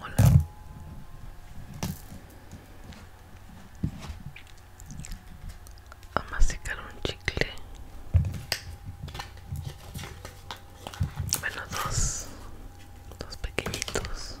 Hola. A masticar un chicle. Bueno, dos. Dos pequeñitos.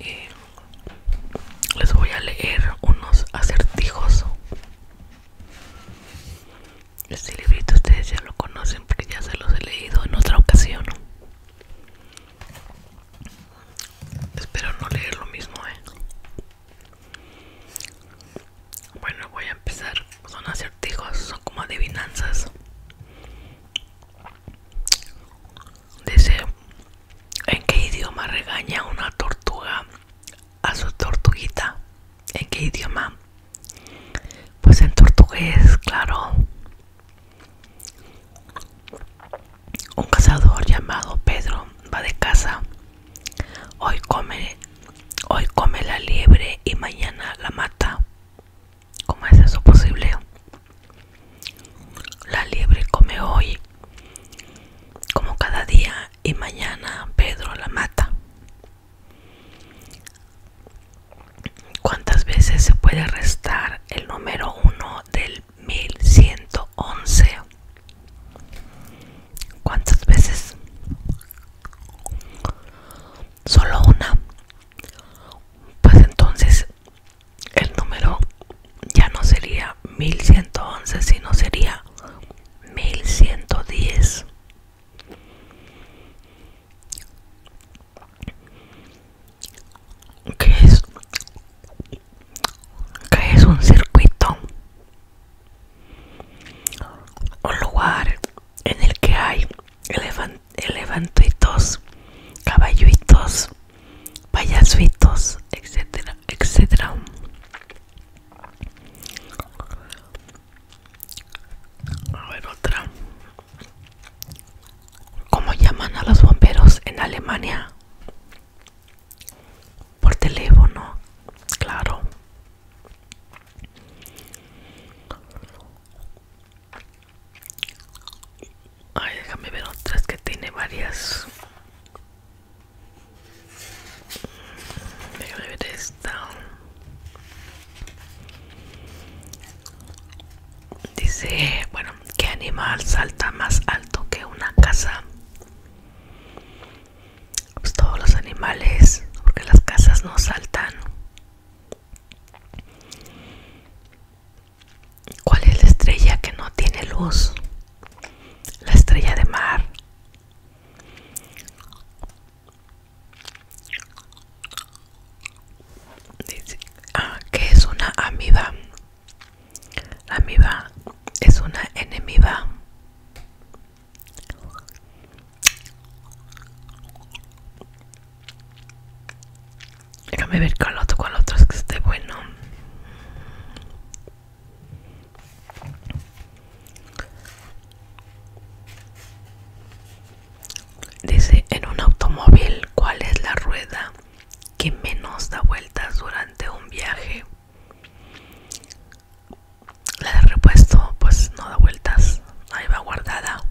Y les voy a leer unos acertijos. Este librito ustedes ya lo conocen porque ya se los he leído en otra ocasión. Espero no leer lo mismo, eh. Bueno, voy a empezar. Son acertijos, son como adivinanzas. Dice, ¿en qué idioma regaña una tortuga a su tortuguita? ¿En qué idioma? Pues en tortugués, claro. Un cazador llamado Pedro va de casa. Hoy come Hoy come la liebre y mañana la mata. ¿Cómo es eso posible? La liebre come hoy, como cada día, y mañana Pedro la mata. ¿Cuántas veces se puede restar el número 1 del 1111? ¿Cuántas veces? solo una, pues entonces el número ya no sería 1111, sino sería 1110. Que es? que es un circuito? Un lugar en el que hay elefantitos, caballitos, payasuitos, etcétera, etcétera. A ver otra. ¿Cómo llaman a los bomberos en Alemania? Por teléfono, claro. Ay, déjame ver otras que tiene varias. Déjame ver esta. Dice, bueno, ¿qué animal salta más alto que una casa? Pues, todos los animales porque las casas no saltan cuál es la estrella que no tiene luz la estrella de mar ah, que es una amiba amiba es una enemiga Déjame ver cuál otro, con otros que esté bueno. Dice, en un automóvil, ¿cuál es la rueda que menos da vueltas durante un viaje? la de repuesto pues no da vueltas ahí va guardada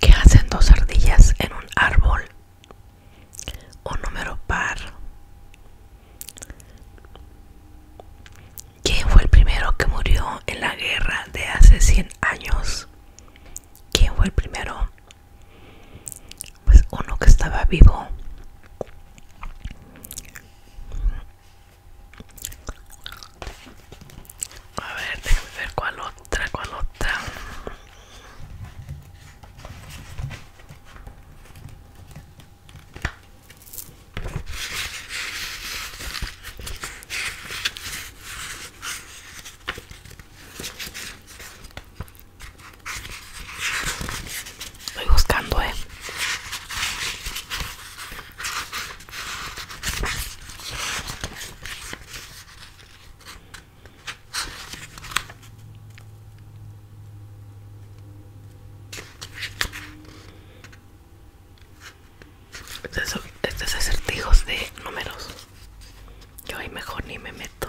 ¿Qué hacen dos ardillas en un árbol? Un número par. ¿Quién fue el primero que murió en la guerra de hace 100 años? ¿Quién fue el primero? pues uno que estaba vivo a ver que ver cuál otra cuál otra Estoy buscando, eh. Estos, este acertijos de números. Yo ahí mejor ni me meto.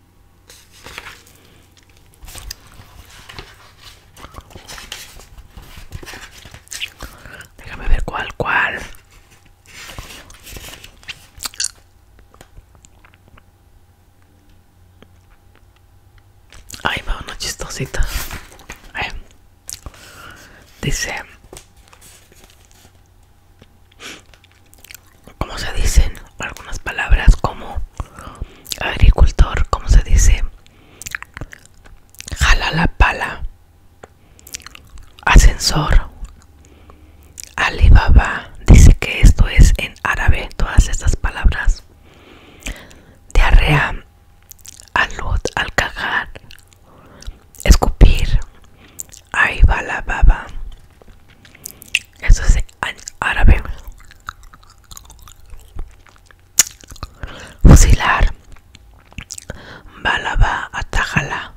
Déjame ver cuál, cuál. Ahí va una chistosita. Dice como se dicen algunas palabras como agricultor, como se dice, jala la pala, ascensor, Alibaba, dice que esto es en árabe, todas estas palabras, diarrea, alud, al cagar, escupir, Ay va baba eso es árabe. Fusilar. Balaba atajala.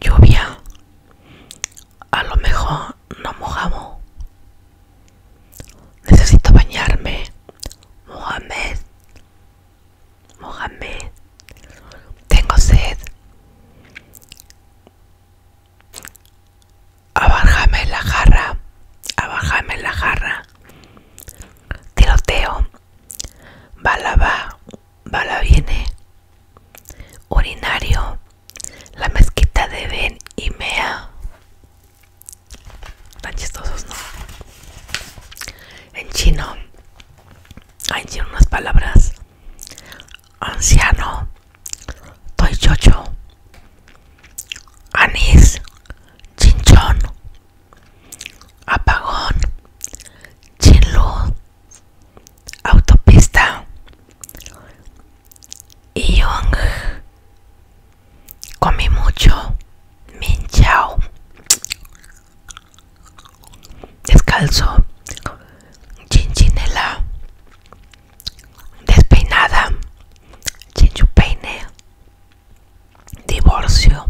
Lluvia. A lo mejor no mojamos. Necesito bañarme. Mohamed. Mohamed. Tengo sed abájame la jarra, Abajame la jarra, tiroteo, bala va, bala viene, urinario, la mezquita de Ben y Mea. Tan chistosos, ¿no? En chino, hay unas palabras. Anciano, anís, chinchón, apagón, chinluz, autopista, Iyong, comí mucho, minchao, descalzo, chinchinela despeinada chinchupeine divorcio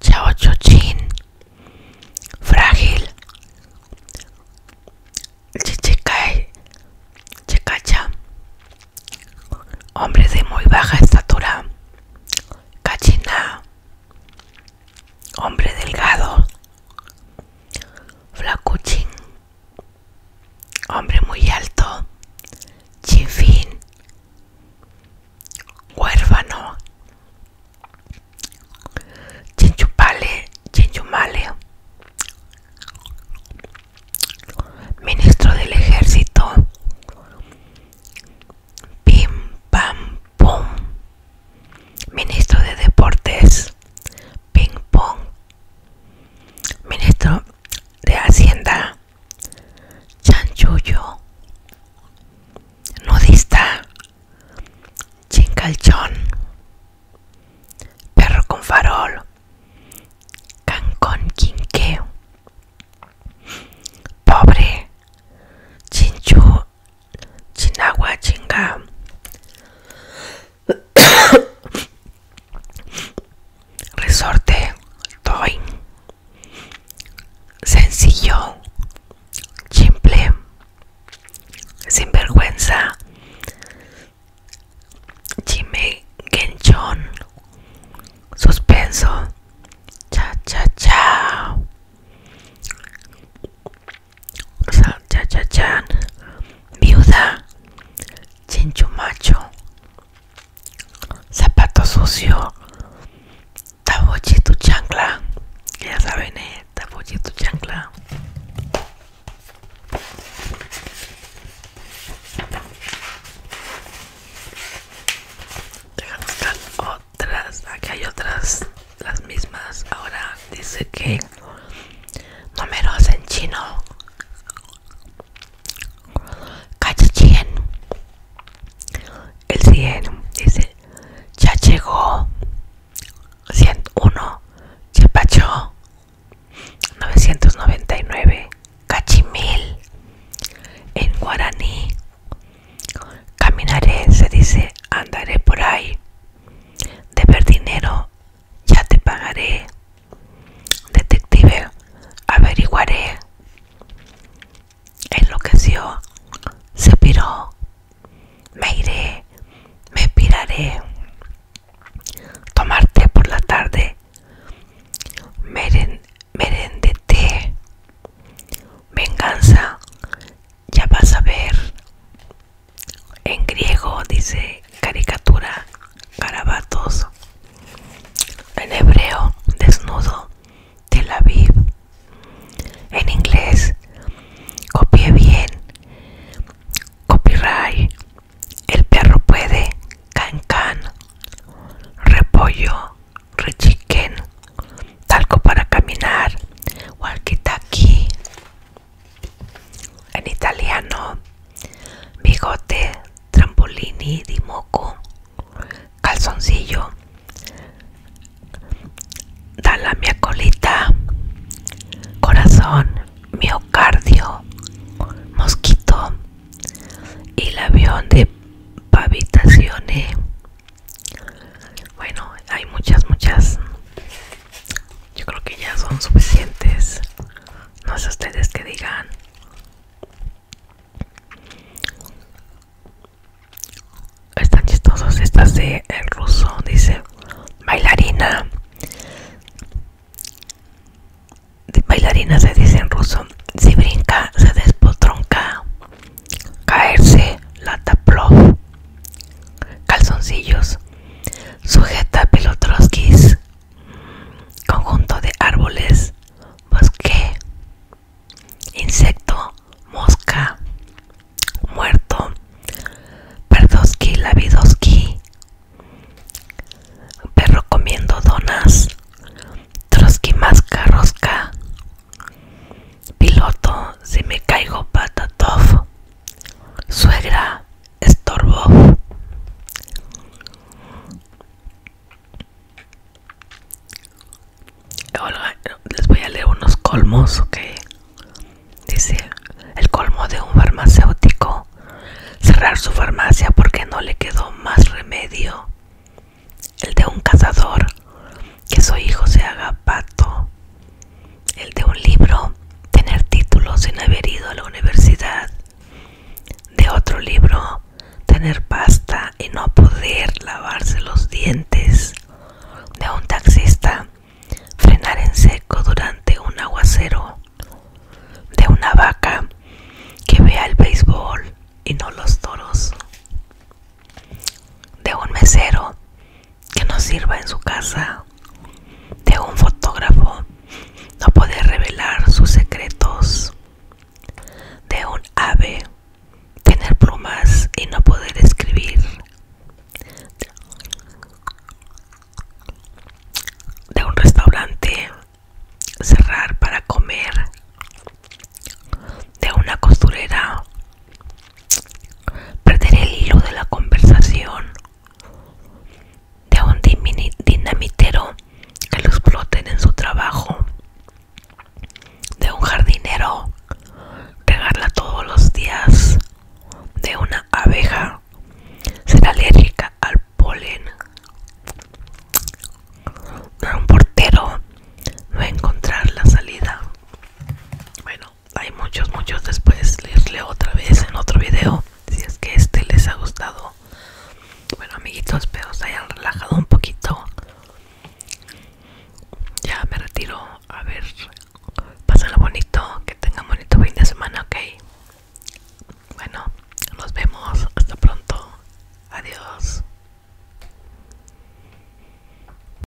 chao Chuchin, frágil chichicay chicacha hombre de muy baja estatura cachina Hombre delgado, flacuchín, hombre muy alto, chifín, huérfano, chinchupale, chinchumale, ministro del ejército, pim pam Pum. Ministro de Deportes, ping pong. Ministro de Hacienda, Chanchuyo. Nudista, Calchón, Perro con farol, cancón quinqueo. Pobre, chinchu Chinagua chinga. Resorte Toy. Sencillo. Simple. Sinvergüenza. Chime Genchon. Suspenso. Cha cha cha ya, Viuda, macho, Zapato Sucio, Tabochito Chancla, ya saben, eh, Tabochito Chancla. Deja buscar otras, aquí hay otras las mismas ahora dice que Números en chino Cachichien el 100 dice ya llegó 101 chapacho 999 cachimil en guaraní caminaré se dice andaré por ahí de ver dinero, ya te pagaré. Detective, averiguaré. Enloqueció, se piró. Me iré, me piraré. Tomarte por la tarde. Meren, té. Venganza, ya vas a ver en griego dice caricatura carabatos en hebreo desnudo Tel Aviv en inglés copié bien copyright el perro puede can repollo rechiquen talco para caminar walkie-talkie en italiano, bigote, trampolini di moco, calzoncillo, dala mia colita, corazón, miocardio, mosquito, y el avión de pavitaciones bueno, hay muchas, muchas. Yo creo que ya son suficientes. No sé ustedes que digan. Están chistosos estas de el ruso, dice bailarina. bailarina se dice en ruso. Si brinca, se despotronca caerse, lata prof, calzoncillos, sujeta pelotroskis, conjunto de árboles, bosque, insecto, mosca, muerto, perroski lavidoski, perro comiendo donas, troski, masca, rosca, Piloto, si me caigo patatov. Suegra, estorbo. les voy a leer unos colmos que dice el colmo de un farmacéutico cerrar su farmacia porque no le quedó más remedio el de un cazador que su hijo se haga pato, el de un libro, tener títulos sin haber ido a la universidad, de otro libro, tener pasta y no poder lavarse los dientes, de un taxista, frenar en seco durante un aguacero, de una vaca que vea el béisbol y no los toros, de un mesero que no sirva en su casa de un fotógrafo no poder revelar sus secretos de un ave tener plumas y no poder escribir de un restaurante cerrar para comer de una costurera Perder el hilo de la conversación de un dinamitero que los exploten en su trabajo, de un jardinero regarla todos los días, de una abeja ser alérgica al polen, de un portero no encontrar la salida. Bueno, hay muchos muchos después les leo otra vez en otro video si es que este les ha gustado bueno amiguitos espero se hayan relajado un poquito ya me retiro a ver pásenlo bonito que tengan bonito fin de semana ok bueno nos vemos hasta pronto adiós